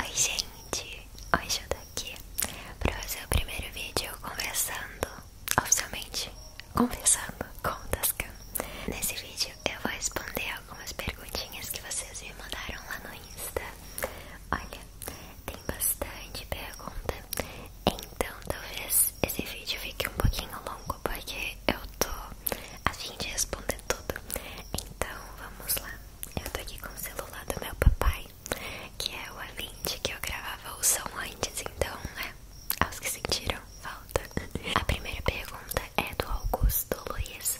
Oi gente, hoje eu tô aqui para fazer o primeiro vídeo conversando, oficialmente conversando com o Tascan Nesse vídeo eu vou responder algumas perguntinhas que vocês me mandaram lá no Insta Olha, tem bastante pergunta, então talvez esse vídeo fique um pouquinho longo porque eu tô a fim de responder tudo. Então vamos lá. Eu tô aqui com o celular do meu papai, que é o A20 que eu gravava o som antes, então né? aos que sentiram falta. A primeira pergunta é do Augusto Luiz.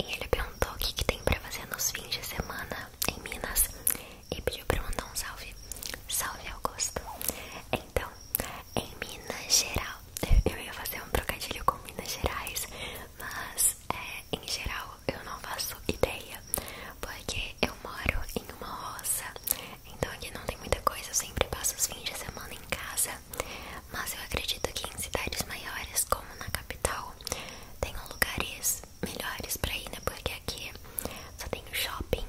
E ele perguntou o que, que tem pra fazer nos fins de semana em Minas e pediu pra mandar um salve. Salve Augusto! Então, em Minas Gerais Eu ia fazer um trocadilho com Minas Gerais, mas é, em geral eu não faço ideia, porque eu moro em uma roça, então aqui não tem muita coisa, eu sempre passo os fins de semana em casa, mas eu acredito que em cidades maiores, como na capital, tenham lugares melhores para ir, né? Porque aqui só tem shopping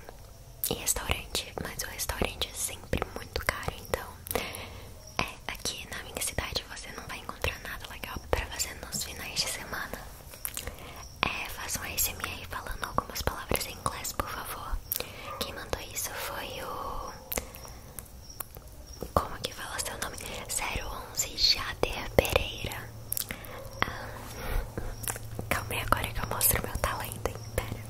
e restaurante, mas o restaurante é sempre muito caro, então é, aqui na minha cidade você não vai encontrar nada legal pra fazer nos finais de semana. É, faça um ASMR falando algumas palavras em inglês, por favor. Quem mandou isso foi o... Como que fala seu nome? 011 Jader Pereira. Ah, calma aí agora que eu mostro meu talento, hein? Pera.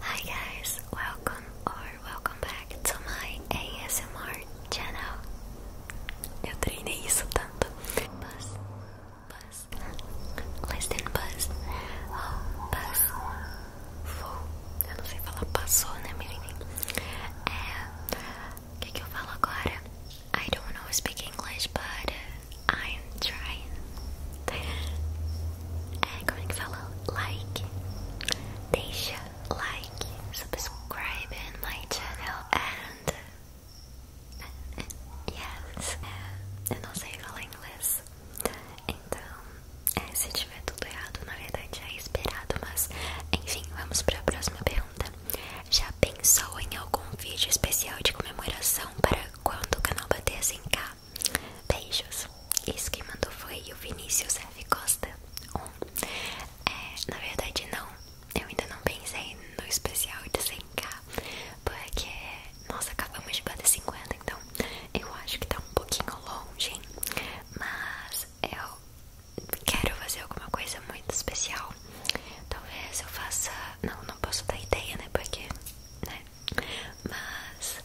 Hi guys, welcome or welcome back to my ASMR channel. Oh, eu treinei isso tanto. Buzz, buzz, listen buzz, oh, buzz, I don't know speak English, but I'm trying. É, como é que fala? Like. Deixa like, subscribe in meu canal and yes. Eu não sei falar inglês. Então, é, se tiver tudo errado, na verdade é esperado, mas enfim, vamos para a próxima pergunta. Já pensou em algum vídeo especial de comemoração para quando o canal bater 100k? Beijos. Isso que mandou foi o Vinícius F. Costa. Um. É, na verdade, não. Eu ainda não pensei no especial de 100k. Porque, nós acabamos de bater 50, então eu acho que tá um pouquinho longe. Mas eu quero fazer alguma coisa muito especial. Talvez eu faça. Não, não posso dar ideia, né? Porque né? Mas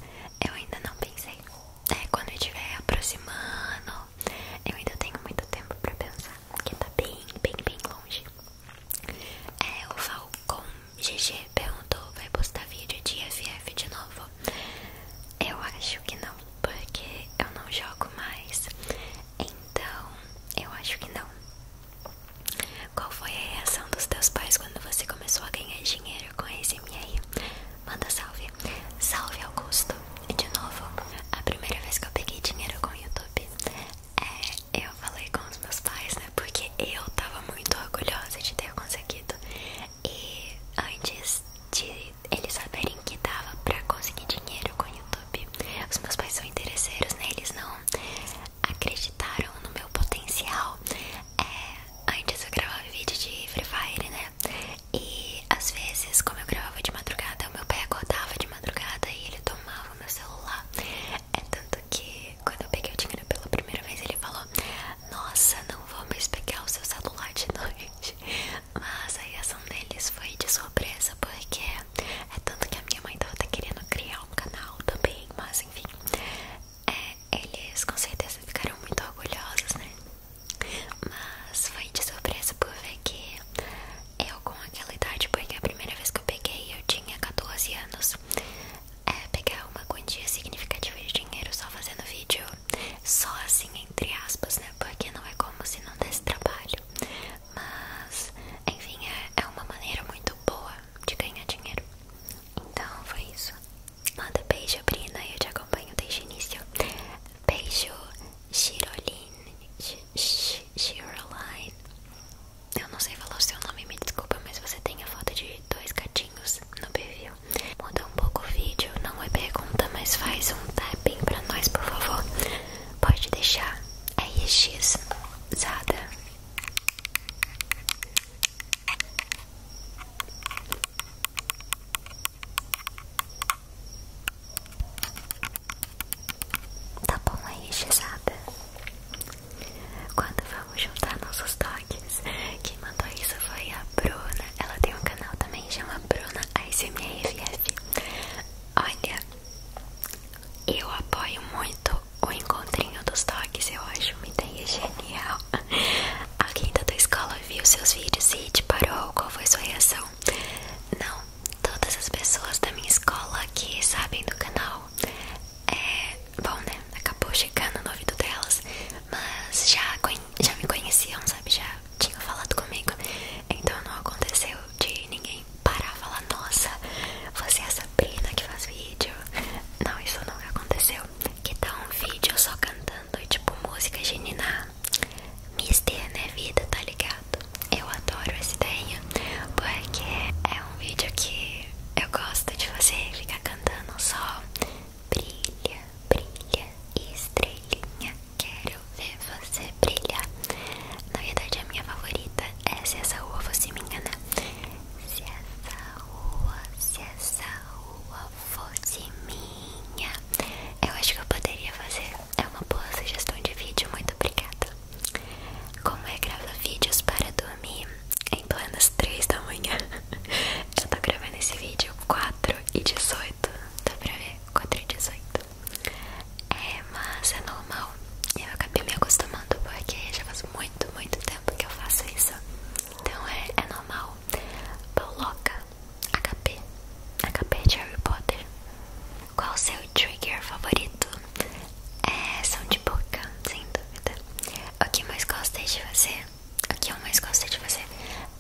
eu ainda não pensei. É, quando eu estiver aproximando, eu ainda tenho muito tempo pra pensar. que tá bem, bem, bem longe. É, o Falcon GG perguntou: vai postar vídeo de FF de novo? Eu acho que não, porque eu não jogo mais. Então, eu acho que não. Qual foi a reação dos teus pais quando você começou a ganhar dinheiro? aniversário com esse M aí. Manda salve. Salve Augusto. E de novo, a primeira vez que eu peguei dinheiro com o YouTube, é, eu falei com os meus pais, né? Porque eu tava muito orgulhosa de ter conseguido. E antes de eles saberem que dava pra conseguir dinheiro com o YouTube, os meus pais são interesseiros, né? Eles não acreditaram no meu potencial. É, Antes eu gravava vídeo de Free Fire, né? E às vezes, como eu gravava de madrugada, o meu pai acordava de madrugada e ele tomava o meu celular. É tanto que quando eu peguei o dinheiro pela primeira vez, ele falou: Nossa, não vou mais pegar o seu celular de noite. Mas a reação deles foi de surpresa, porque é tanto que a minha mãe tava querendo criar um canal também, mas enfim. É, eles com certeza ficaram muito orgulhosos, né? Mas foi de surpresa por ver que eu, com aquela idade, porque a primeira vez que eu peguei eu tinha 14 anos, é, pegar uma quantia significativa de dinheiro só fazendo vídeo, só assim, entre aspas, né? Porque não é como se não desse trabalho. Mas, enfim, é, é uma maneira muito boa de ganhar dinheiro. Então, foi isso. Manda beijo, Brina. Eu te acompanho desde o início. Beijo, Chiroline. Chiroline. Eu não sei falar o seu nome, me desculpa, mas você tem a foto de dois gatinhos no perfil. Muda um pouco o vídeo, não é pergunta, mas faz um tapping pra nós, por favor. Pode deixar. a RX Zada. Tá bom aí, xizada? Quando vamos juntar nossos toques, quem mandou isso foi a Bruna. Ela tem um canal também, chama Bruna ASMRFF. Olha, eu apoio muito o encontrinho dos toques, eu acho uma ideia genial. Alguém da tua escola viu seus vídeos e te parou? Qual foi sua reação? Não, todas as pessoas da minha escola que sabem do canal é bom, né? Acabou chegando no ouvido delas, mas já, já me conheciam, sabe? Já tinham falado comigo, então não aconteceu de ninguém parar e falar: Nossa, você é a Sabrina que faz vídeo. Não, isso nunca aconteceu que dá tá um vídeo só cantando tipo música genina Mister, né vida, tá ligado? Eu adoro esse ideia porque é um vídeo que eu gosto de fazer, ficar cantando só Brilha, brilha, estrelinha, quero ver você brilhar Na verdade a minha favorita é Se Essa Rua Fosse Minha, né? Se essa rua, se essa rua lua fosse minha. Eu acho que eu poderia fazer. É uma boa sugestão de vídeo, muito obrigada. Como é gravar vídeos para dormir em planas 3 da manhã? Eu tô gravando esse vídeo 4 e 18. Dá pra ver? 4 e 18. É, mas é normal. Eu acabei me acostumando porque já faz muito, muito tempo que eu faço isso. Então é, é normal. Pauloca, HP, HP de Harry Potter. Qual o seu trigger favorito? É som de boca, sem dúvida. O que mais gostei de fazer? O que eu mais gosto de fazer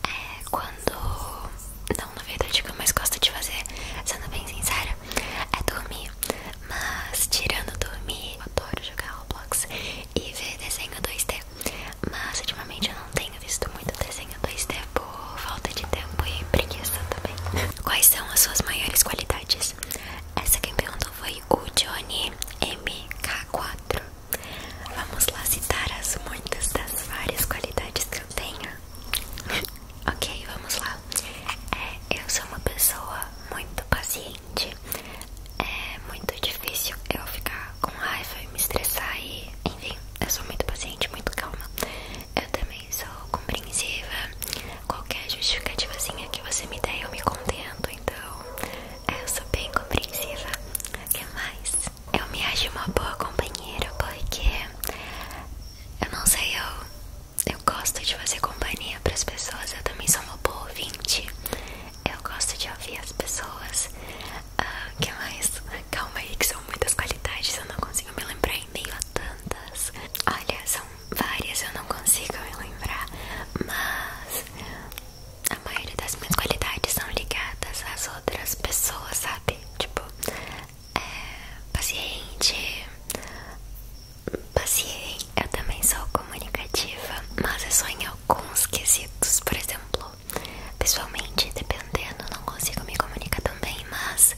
é quando. Não, na verdade, o que eu mais gosto de fazer, sendo bem sincera, é dormir. Mas, tirando dormir, eu adoro jogar Roblox e ver desenho 2D. Mas ultimamente eu não tenho visto muito desenho 2D por falta de tempo e preguiça também. Quais são as suas maiores qualidades? Essa quem perguntou foi o Johnny MK4. Vamos lá citar as muitas das várias qualidades que eu tenho. ok, vamos lá. É, eu sou uma pessoa muito paciente é muito difícil eu ficar com raiva e me estressar e, enfim, eu sou muito paciente, muito calma. Eu também sou compreensiva. Qualquer justificativazinha que você me der, eu me contento. Então, eu sou bem compreensiva. O que mais? Eu me acho uma boa companheira porque eu não sei, eu, eu gosto de fazer companhia para as pessoas. Eu também sou uma boa ouvinte eu gosto de ouvir as pessoas. Uh, que mais? Calma aí, que são muitas qualidades, eu não consigo me lembrar em meio tantas. Olha, são várias, eu não consigo me lembrar, mas a maioria das minhas qualidades são ligadas às outras pessoas, sabe? Tipo, é, paciente. Paciente, eu também sou comunicativa, mas eu só em alguns quesitos, por exemplo, pessoalmente, dependendo, não consigo me comunicar tão bem, mas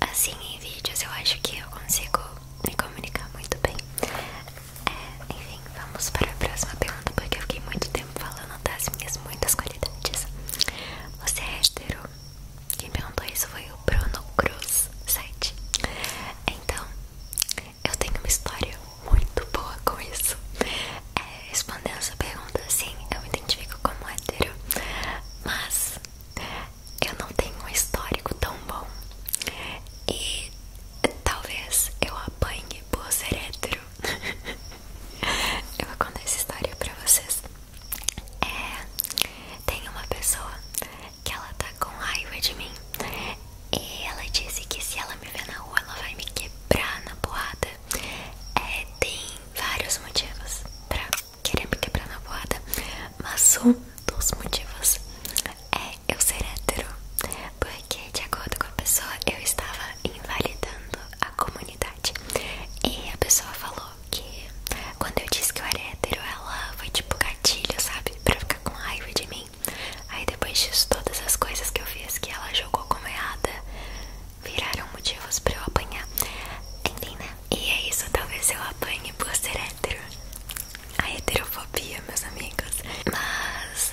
assim em vídeos eu acho que eu consigo me comunicar muito bem. É, enfim, vamos para a próxima pergunta, porque eu fiquei muito tempo falando das minhas muitas qualidades. Você é hétero? Quem perguntou isso foi o Bruno Cruz site. Então, eu tenho uma história muito boa com isso. É, respondendo essa pergunta, sim, eu me identifico como hétero, mas eu não tenho um histórico tão bom. E talvez eu apanhe por ser hétero. eu vou contar essa história pra vocês. É, tem uma pessoa que ela tá com raiva de mim e ela disse que se ela me ver na rua, ela vai me quebrar na boada. É, tem vários motivos pra querer me quebrar na boada, mas um dos motivos é eu ser hétero, porque de acordo com a pessoa eu estava invalidando a comunidade. E a pessoa falou que quando eu disse que eu era hétero, ela foi tipo gatilho, sabe? Pra ficar com raiva de mim. Aí depois disso, todas as coisas que eu fiz que ela jogou como errada viraram motivos pra eu apanhar. Enfim, né? E é isso, talvez eu apanhe por ser hétero. A heterofobia, meus amigos. Mas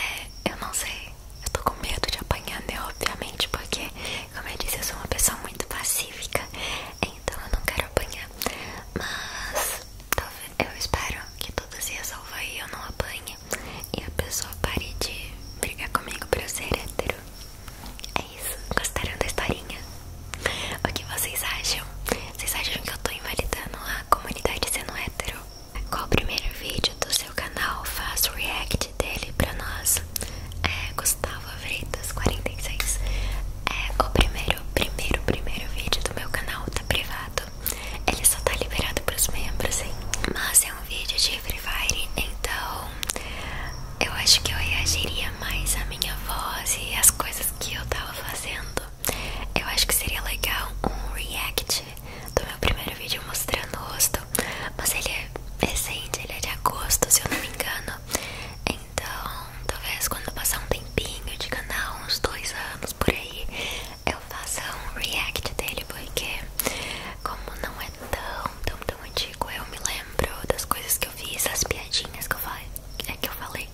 é, eu não sei. Eu tô com medo de apanhar, né? Obviamente, porque, como eu disse, eu sou uma pessoa muito pacífica. Então eu não quero apanhar. Mas eu espero que tudo se resolva e eu não apanhe E a pessoa pare de brigar comigo por ser hétero É isso, gostaram da historinha? O que vocês acham? Vocês acham que eu tô invalidando a comunidade sendo hétero? Qual o primeiro vídeo do seu canal? Faz react dele pra nós É Gustavo Freitas 46 É o primeiro, primeiro, primeiro vídeo do meu canal, tá privado ele só tá liberado pros membros, hein? Mas é um vídeo de Free Fire, então eu acho que eu reagiria mais à minha voz e às coisas que eu tava fazendo. Eu acho que seria legal um react do meu primeiro vídeo mostrando o rosto, mas ele é recente, ele é de agosto, se eu não me engano. Então, talvez quando passar um tempinho de canal, uns dois anos por aí eu faço um react dele, porque como não é tão, tão, tão antigo, eu me lembro das coisas que eu fiz, as piadinhas que eu falei. É que eu falei.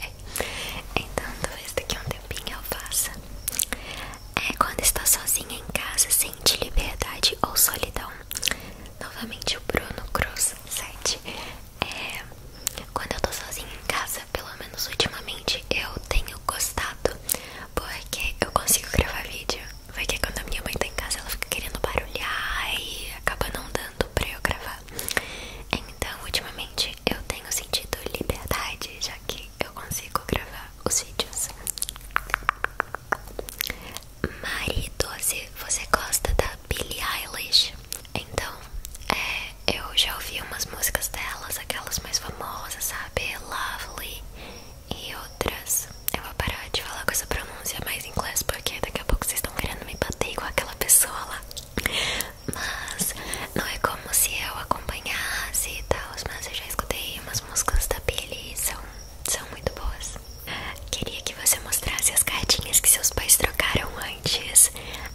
É. Então talvez daqui a um tempinho eu faça. É quando está sozinha em casa, sente liberdade ou solidão. Novamente o Bruno Cruz 7 é, quando eu tô sozinha em casa, pelo menos ultimamente, eu tenho gostado porque eu consigo gravar vídeo. Porque quando a minha mãe tá em casa, ela fica querendo barulhar e acaba não dando pra eu gravar. Então, ultimamente, eu tenho sentido liberdade, já que eu consigo gravar os vídeos. Mari 12, você gosta da Billie Eilish? Então, é, eu já ouvi umas músicas delas, aquelas mais famosas, sabe? Lovely e outras. Eu vou parar de falar com essa pronúncia mais em inglês porque daqui a pouco vocês estão querendo me bater com aquela pessoa lá. Mas não é como se eu acompanhasse e tal, mas eu já escutei umas músicas da Billy são, são muito boas. Queria que você mostrasse as cartinhas que seus pais trocaram antes.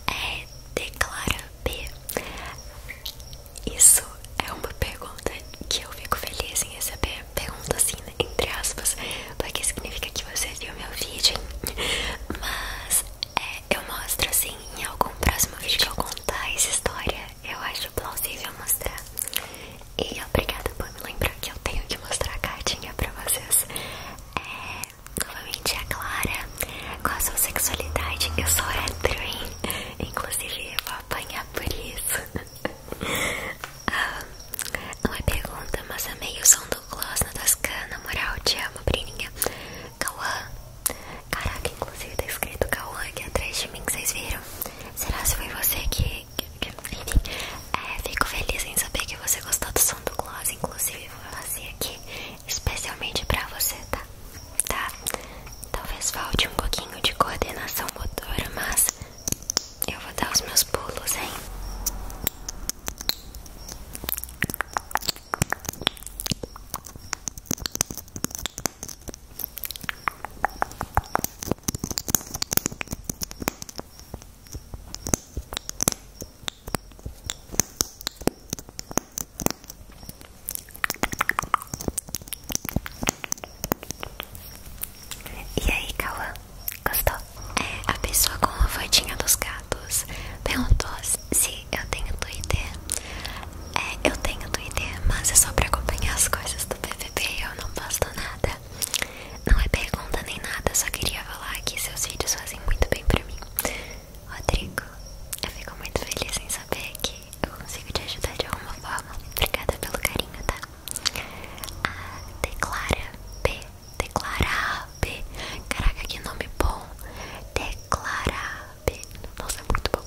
É, declara B? Isso é uma pergunta que eu fico feliz em receber. Pergunta assim, né, entre aspas, porque significa que você viu meu vídeo, Mas é, eu mostro assim em algum próximo vídeo que eu contar essa história. Eu acho plausível mostrar. E obrigada por me lembrar que eu tenho que mostrar a cartinha pra vocês. É, novamente é a Clara com a sua sexualidade. Eu sou hétero, hein? Inclusive, vou apanhar por isso. não é ah, pergunta, mas amei o som do gloss na Toscana. Moral, te amo, Brininha. Cauã. Caraca, inclusive tá escrito Cauã aqui atrás de mim, vocês viram? Será que foi você que... Enfim, é, fico feliz em saber que você gostou do som do gloss. Inclusive, vou fazer aqui especialmente pra você, tá? Tá? Talvez falte um pouquinho de coordenação motora, mas eu vou dar os meus pulos, hein? E aí, Cauã? Gostou? É, a pessoa com a fotinha dos gatos perguntou se eu tenho Twitter. É, eu tenho Twitter, mas é só pra acompanhar as coisas do BBB. Eu não posto nada. Não é pergunta nem nada, só queria falar que seus vídeos fazem muito bem pra mim. Rodrigo, eu fico muito feliz em saber que eu consigo te ajudar de alguma forma. Obrigada pelo carinho, tá? A Declara B. Declara B. Caraca, que nome bom. Declara B. Nossa, é muito bom.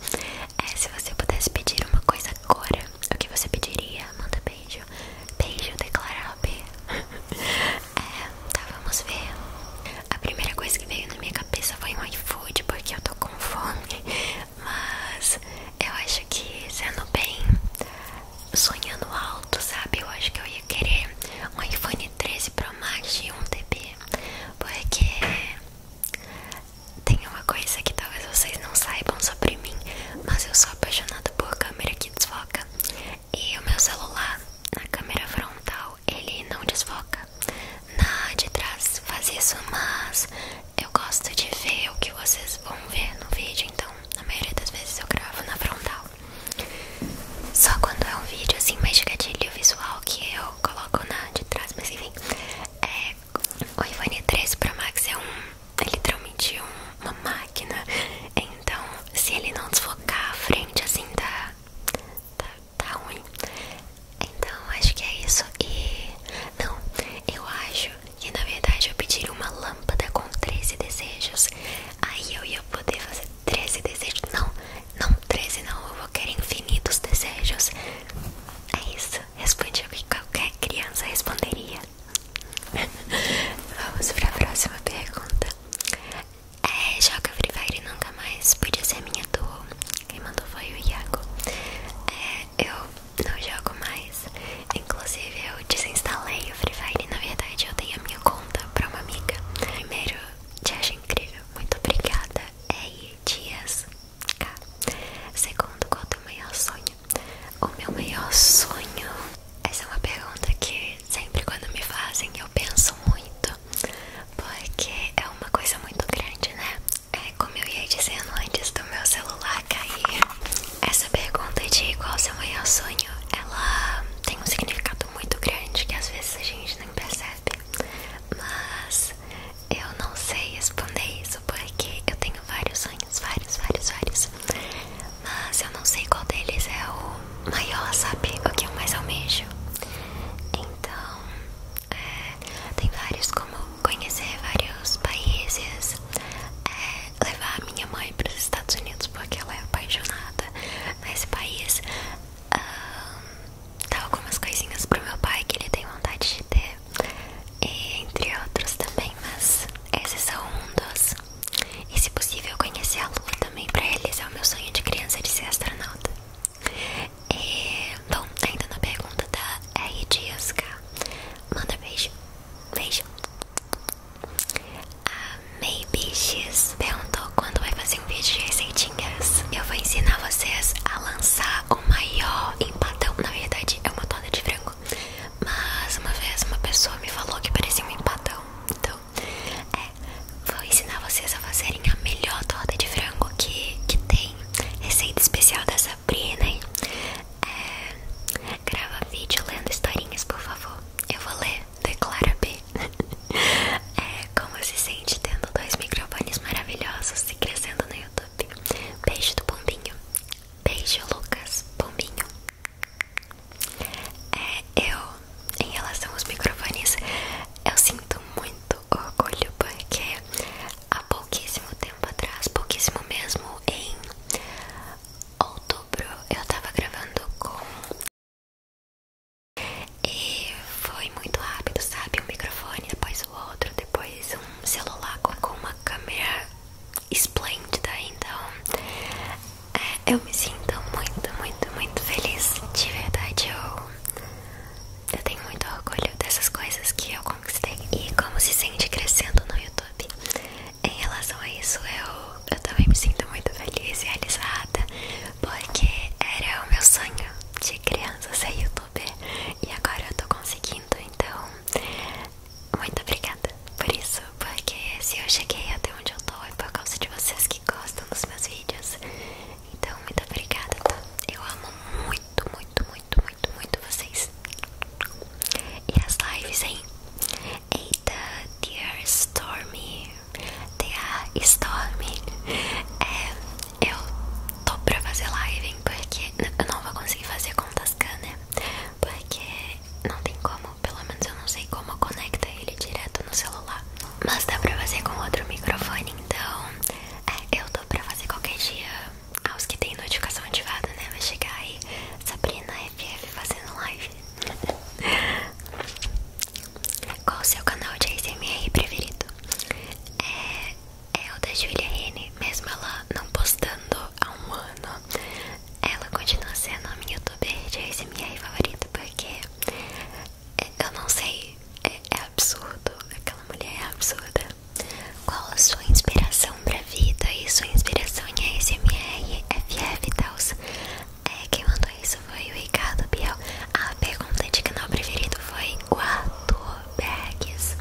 É, se você pudesse pedir uma coisa agora, o que você pediria? Manda beijo. Beijo, Declara B. É, tá, vamos ver. A primeira coisa que veio na minha cabeça foi um iFood, porque eu tô com fome. Mas eu acho que, sendo bem, sonhando alto, sabe? Eu acho que eu ia querer um iPhone 13 Pro Max e um TB. Porque tem uma coisa que talvez vocês não saibam sobre mim, mas eu sou apaixonada por câmera que desfoca. E o meu celular, na câmera frontal, ele não desfoca. Na de trás faz isso, mas eu gosto de ver o que vocês vão ver no vídeo, então na maioria das vezes eu gravo na frontal. Só quando é um vídeo assim mais de gatilho visual que eu coloco na de trás, mas enfim. É, o iPhone 13 Pro Max é, um, é literalmente uma máquina, então se ele não desfocar a frente assim da, Tá, tá, ruim. Então acho que é isso. E não, eu acho que na verdade eu pediria uma lâmpada com 13 desejos. Aí eu ia poder fazer 13 desejos. Não, não 13 não, eu vou querer infinitos desejos. É isso, respondi o que qualquer criança responderia. Vamos para a próxima pergunta. É, joga Free Fire nunca mais. Podia ser minha duo. Quem mandou foi o Iago. É, eu não jogo mais. Inclusive, eu desinstalei o Free Fire. Na verdade, eu tenho a minha conta pra uma amiga. Primeiro, te acho incrível. Muito obrigada. É, Ei, dias. K. Segundo, qual é o teu maior sonho? O meu maior sonho. Essa é uma pergunta que sempre quando me fazem eu penso muito porque é uma coisa muito grande, né? É como eu ia dizendo antes do meu celular cair. Essa pergunta de qual seu maior sonho, ela tem um significado muito grande que às vezes a gente nem percebe. Mas eu não sei responder isso porque eu tenho vários sonhos, vários, vários, vários. Mas eu não sei qual deles é o maior, sabe? O que eu mais almejo. Então, é, tem vários como conhecer vários países, é, levar a minha mãe para os Estados Unidos porque ela é apaixonada nesse país, dar algumas coisinhas pro meu pai que ele tem vontade de ter, entre outros também, mas esses são um dos. E se possível conhecer a Lua também eles é o meu sonho de criança de ser astronauta. E, é, bom, ainda na pergunta da R. Dias K. Manda beijo. Beijo. A May perguntou quando vai fazer um vídeo de receitinhas. Eu vou ensinar vocês a lançar o maior empadão. Na verdade, é uma torta de frango. Mas uma vez uma pessoa me falou que parecia um empadão. Então, é, vou ensinar vocês a fazerem a melhor torta de frango que, que tem. Receita especial da Sabrina, hein? É, grava vídeo lendo historinhas, por favor. Eu vou ler, declara B. É, como se sente tendo dois microfones maravilhosos se crescendo no YouTube. Beijo do Pombinho. Beijo, Lucas. Pombinho. É, eu, em relação aos microfones, eu sinto muito orgulho porque há pouquíssimo tempo atrás, pouquíssimo mesmo, em outubro, eu tava gravando com. E foi muito rápido, sabe? Um microfone, depois o outro, depois um celular com uma câmera esplêndida. Então, é, eu me sinto muito, muito, muito feliz. De verdade, eu, eu tenho muito orgulho dessas coisas que eu conquistei. E como se sente crescendo no YouTube. Em relação a isso, eu, eu também me sinto muito feliz e realizada. Porque era o meu sonho de criança ser youtuber. E agora eu tô conseguindo, então... Muito obrigada por isso, porque se eu cheguei até onde eu tô é por causa de vocês que gostam dos meus vídeos. Então, muito obrigada, tá? Eu amo muito, muito, muito, muito, muito vocês. E as lives, hein? Eita, dear Stormy. Dear Stormy. É, eu tô pra fazer live, hein? Porque eu não vou conseguir fazer com Tascana, né? Porque não tem como pelo menos eu não sei como conecta ele direto no celular. Mas dá pra fazer com outro microfone, então é, eu tô pra fazer qualquer dia aos que tem notificação ativada, né? Vai chegar aí Sabrina FF fazendo live. Qual o seu canal de ASMR preferido? É, é o da Julia mesmo ela não postando há um ano. Ela continua sendo a minha youtuber de ASMR favorita porque é, eu não sei, é, é, absurdo, aquela mulher é absurda. Qual a sua inspiração pra vida e sua inspiração em ASMR, FF e tals? É, quem mandou isso foi o Ricardo Biel. A pergunta de canal preferido foi o Bags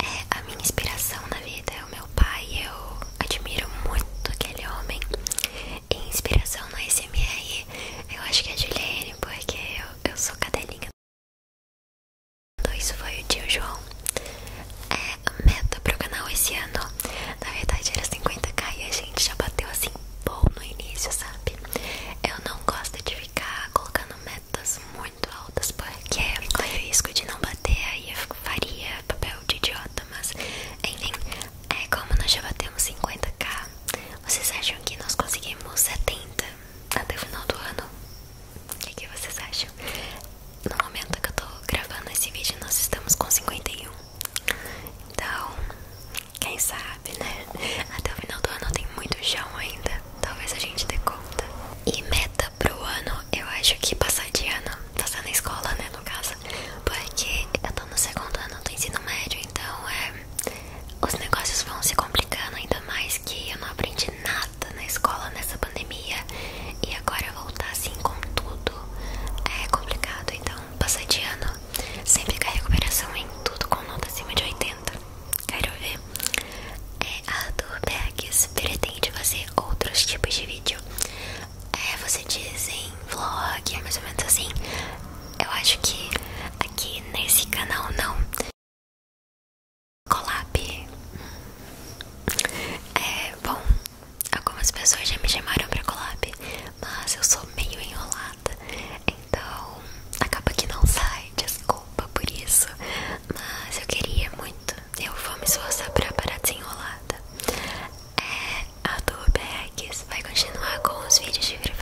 é, a minha inspiração na vida, é o meu pai. Eu admiro muito aquele homem inspiração no SMR eu acho que é de Juliane, porque eu, eu sou cadelinha. Então, isso foi o tio João. É, a meta pro canal esse ano, na verdade, era 50k e a gente já bateu assim, bom no início, sabe? Eu não gosto de ficar colocando metas muito altas, porque corre é risco de não bater, e eu faria papel de idiota, mas enfim, é, como nós já batemos 50k, vocês acham que nós conseguimos 70 até o final do ano? O que, vocês acham? No momento que eu tô gravando esse vídeo, nós estamos com 51. Então, quem sabe, né? Até o final do ano tem muito chão ainda. Talvez a gente dê conta. E meta pro ano, eu acho que passar de ano, passar na escola, né? No caso, porque eu no segundo ano do ensino médio, então é, os negócios vão se complicando ainda mais que eu não aprendi nada na escola nessa pandemia e agora voltar assim com tudo é complicado, então passar de ano sempre com recuperação em tudo com nota acima de 80. Quero ver. É, Arthur Bergs pretende fazer outros tipos de vídeo. É, você diz em vlog, é mais ou menos assim. Eu acho que aqui nesse canal não. colab É, bom, algumas pessoas já me chamaram pra colab mas eu sou meio enrolada. Então, acaba que não sai, desculpa por isso. Mas eu queria muito. Eu vou me esforçar pra parar desenrolada. É, a do BX vai continuar com os vídeos de Free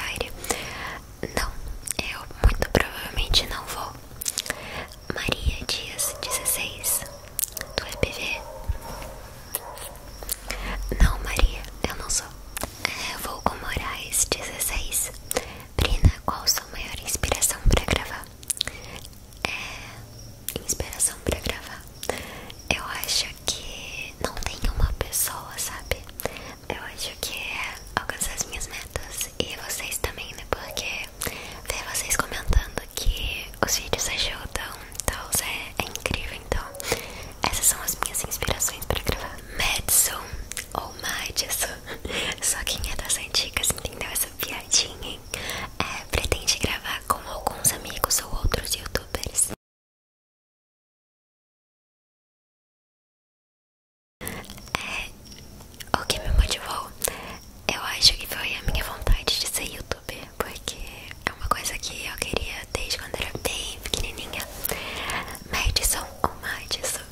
Não, eu muito provavelmente não vou. Maria Dias 16 do EPV. Não, Maria, eu não sou. É, vou com Moraes 16. Brina, qual sua maior inspiração para gravar? É. Inspiração para gravar. Eu acho que não tem uma pessoa, sabe? Eu acho que é alcançar as minhas metas e vocês também, né? Porque ver vocês comentando que os vídeos ajudam, então é, é incrível. Então, essas são as minhas inspirações para gravar. Madison ou Madison, só quem é das antigas entendeu essa piadinha, hein? É, pretende gravar com alguns amigos ou outros youtubers. É, o que me motivou, eu acho que foi a minha vontade de ser youtuber, porque é uma coisa que eu queria desde quando era bem pequenininha. Madison ou Madison?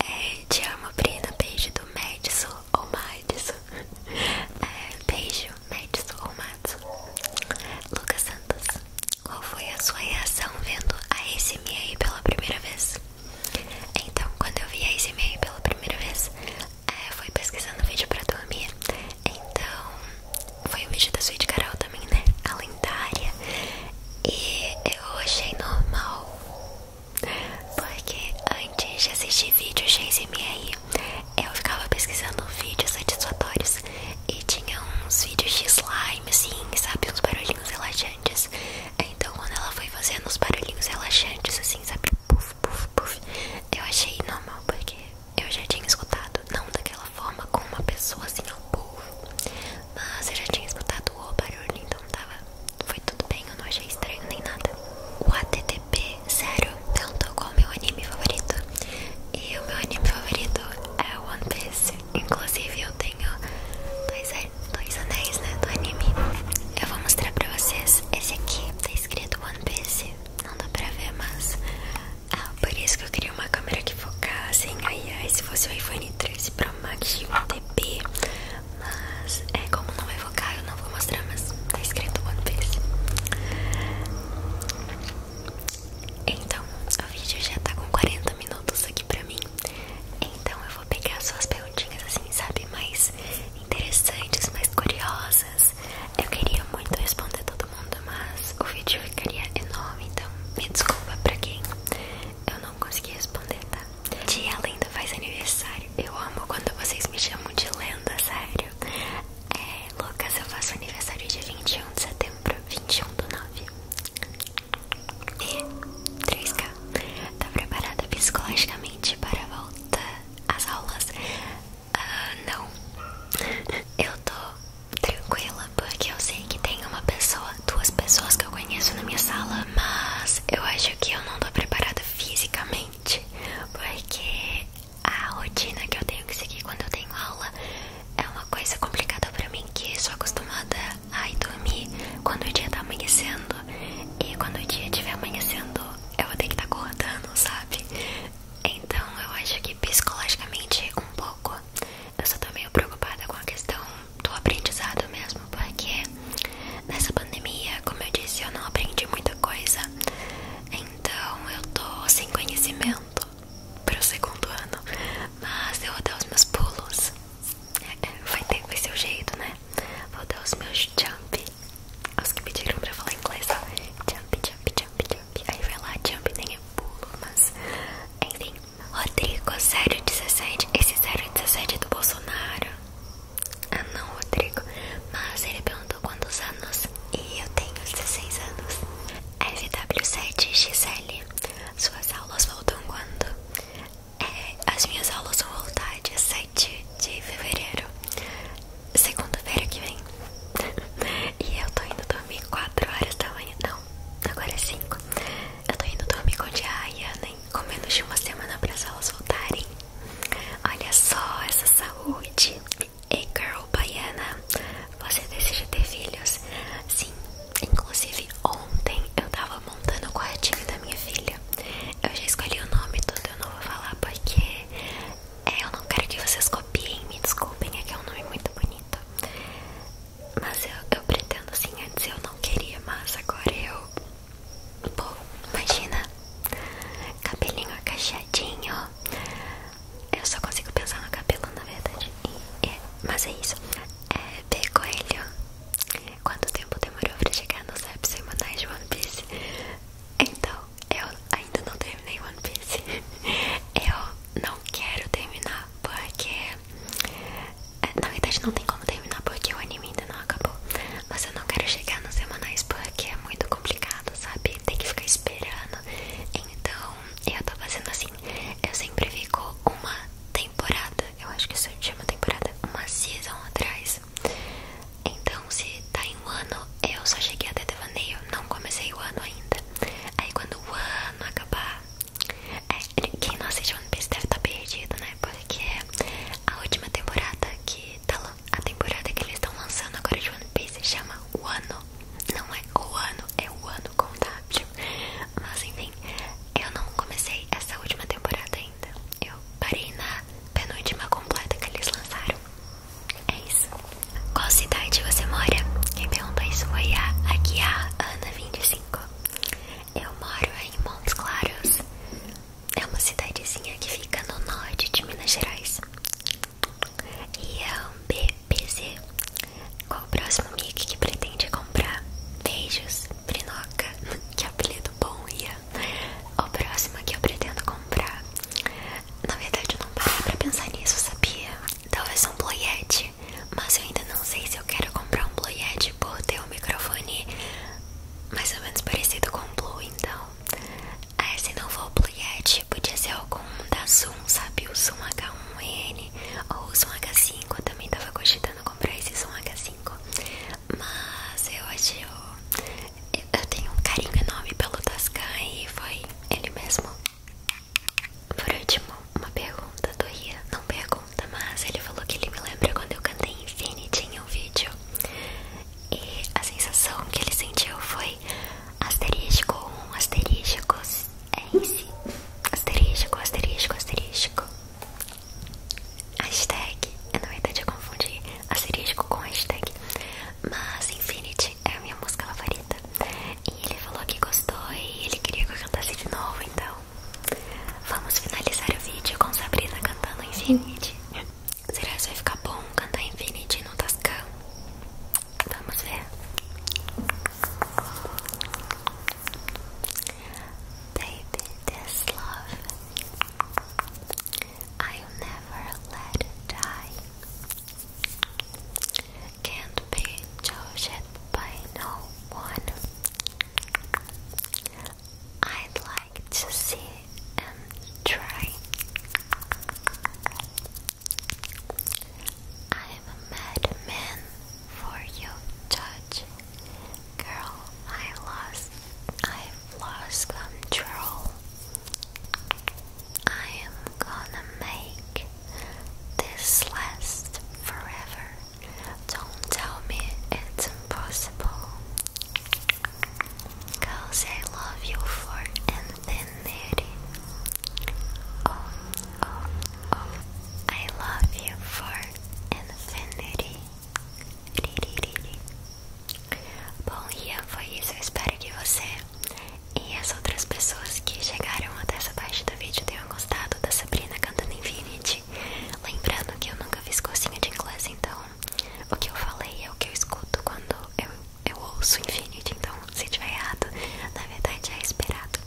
É, te amo, Brina. Beijo do Madison ou Madison? É, beijo. Médici ou Matos? Lucas Santos, qual foi a sua reação vendo a ASMR pela primeira vez? Então, quando eu vi a ASMR pela primeira vez, eu é, fui pesquisando o vídeo pra dormir. Então, foi um vídeo da Sweet Carol também, né? A lendária. E eu achei normal. Porque antes de assistir vídeos de ASMR, eu ficava pesquisando vídeos satisfatórios e tinha uns vídeos de slime, assim, sabe? Uns barulhinhos relaxantes. Então, quando ela foi fazendo uns barulhinhos relaxantes, assim, sabe? Puf, puf, puf. Eu achei normal, porque eu já tinha escutado, não daquela forma, com uma pessoa assim, ao povo. Mas eu já tinha escutado o barulho, então tava. Foi tudo bem, eu não achei estranho nem nada. O ATT TP, sério, tanto com meu anime favorito. E o meu anime favorito é One Piece. Inclusive, eu tenho dois, anéis né, do anime. Eu vou mostrar pra vocês. Esse aqui tá escrito One Piece. Não dá pra ver, mas. Ah, por isso que eu queria uma câmera que focasse em AI se fosse o iPhone 13 Pro Max de um TP. Mas é como não vai focar, eu não vou mostrar, mas tá escrito One Piece. Então, o vídeo já tá com 40 minutos aqui pra mim. Então eu vou pegar suas perguntinhas assim, sabe, mais interessantes, mais curiosas. Eu queria muito responder todo mundo, mas o vídeo ficaria enorme, então me desculpa pra quem eu não consegui responder, tá? Tia linda faz aniversário. Eu amo quando vocês me chamam de Lenda, sério. É, Lucas, eu faço aniversário dia 21 de setembro, 21 do 9. E 3K. Tá preparada psicologicamente para a volta às aulas? Ah, não. Eu tô tranquila porque eu sei que tem uma pessoa, duas pessoas que eu conheço na minha sala, mas eu acho que eu não tô preparada fisicamente porque a rotina que eu tenho que seguir quando eu tenho aula é uma coisa complicada pra mim, que sou acostumada a dormir quando o dia tá amanhecendo. E quando o dia estiver amanhecendo, eu vou ter que estar tá acordando, sabe? Então eu acho que psicologicamente um pouco. Eu só tô meio preocupada com a questão do aprendizado mesmo, porque nessa pandemia, como eu disse, eu não aprendi muita coisa. Então eu tô sem conhecimento pro segundo ano, mas eu vou dar os meus pulos. É, vai ter que ser o jeito, né? Vou dar os meus jump. Os que pediram pra falar inglês, ó. Jump, jump, jump, jump. Aí vai lá, jump nem é pulo, mas. Enfim. Rodrigo 017. Esse 017 é do Bolsonaro. Ah não, Rodrigo. Mas ele é entrando quantos anos? E eu tenho 16 anos. FW7XL, suas aulas voltam quando? É, as minhas aulas vão voltar dia 7 de fevereiro, segunda-feira que vem. e eu tô indo dormir 4 horas da manhã. Não, agora é 5. Eu tô indo dormir com diária, nem com menos de uma semana para as aulas voltarem. Olha só essa saúde. Hey girl baiana, você deseja ter filhos? Sim, inclusive ontem eu tava montando o quartinho da minha filha. Eu já escolhi o nome todo, eu não vou falar porque é, eu não quero que vocês copiem, me desculpem, é que é um nome muito bonito. Mas eu, eu pretendo assim, antes eu não queria, mas agora eu. Bom, imagina! Cabelinho agachadinho, eu só consigo pensar no cabelo, na verdade. É, mas é isso. É, B. Coelho. Quanto tempo demorou pra chegar nos apps semanais de One Piece? Então, eu ainda não terminei One Piece. Eu não quero terminar porque. É, na verdade, não tem como terminar porque o anime ainda não acabou. Mas eu não quero chegar nos semanais porque é muito complicado, sabe? Tem que ficar esperando então, eu tô fazendo assim. Eu sempre fico uma temporada. Eu acho que isso chama temporada. Uma season atrás. Então, se tá em um ano, eu só cheguei até devaneio. Não comecei o ano ainda. Aí, quando o ano acabar. É, quem não assistiu One Piece deve tá perdido, né? Porque é a última temporada que tá, a temporada que eles estão lançando agora de One Piece chama O Não é O é O Ano com W. Mas enfim, eu não comecei essa última temporada ainda. Eu parei na penúltima completa que eles lançaram. É isso. Qual cidade você mora? Quem perguntou isso foi a Ana 25. Eu moro em Montes Claros. É uma cidadezinha que fica no norte de Minas Gerais. E é Qual o próximo mic que pretende comprar? Beijos, Brinoca. Que apelido bom, Ian. O próximo que eu pretendo comprar. Na verdade, eu não parei pra pensar nisso, sabia? Talvez um bloyete. Mas eu ainda não sei se eu quero comprar um bloyete por ter um microfone mais ou menos parecido com o Blue, então ah, esse não vou o Pluyet, podia ser algum da Zoom, sabe? O Zoom H1N ou o Zoom H5. Eu também tava cogitando comprar esse Zoom H5. Mas eu acho. Eu, eu tenho um carinho enorme pelo Tascan e foi ele mesmo. Por último, uma pergunta do Ria. Não pergunta, mas ele falou que ele me lembra quando eu cantei Infinity em um vídeo. E a sensação que ele sentiu foi asterístico, um asterístico, é esse, asterístico, asterístico, asterístico, hashtag, eu não ia confundir asterístico com hashtag, mas Infinity é a minha música favorita, e ele falou que gostou e ele queria que eu cantasse de novo, então, vamos finalizar o vídeo com Sabrina cantando Infinity. Será que vai ficar bom cantar Infinity no Tascam? Vamos ver. Baby, this love I'll never let die. Can't be judged by no one. I'd like to see and try. I am a madman for you, Judge. Girl, I lost. I've lost control. I am gonna make this last forever. Don't tell me it's impossible. Cause I love you for infinity. Oh, oh, oh. I love you for infinity. Bom, e foi isso. Eu espero que você e as outras pessoas que chegaram até essa parte do vídeo tenham gostado da Sabrina cantando Infinity. Lembrando que eu nunca fiz cursinho de inglês, então o que eu falei é o que eu escuto quando eu eu ouço Infinity, então se tiver errado, na verdade é esperado.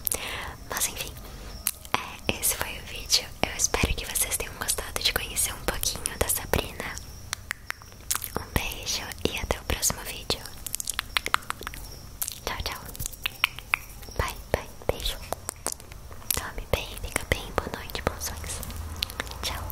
Mas enfim, é, esse foi o vídeo. Eu espero que vocês tenham gostado de conhecer um pouquinho da Sabrina. Um beijo e até o próximo vídeo. Tchau, tchau. Bye, bye. Beijo. Tome bem, fica bem. Boa noite, bons sonhos. Tchau.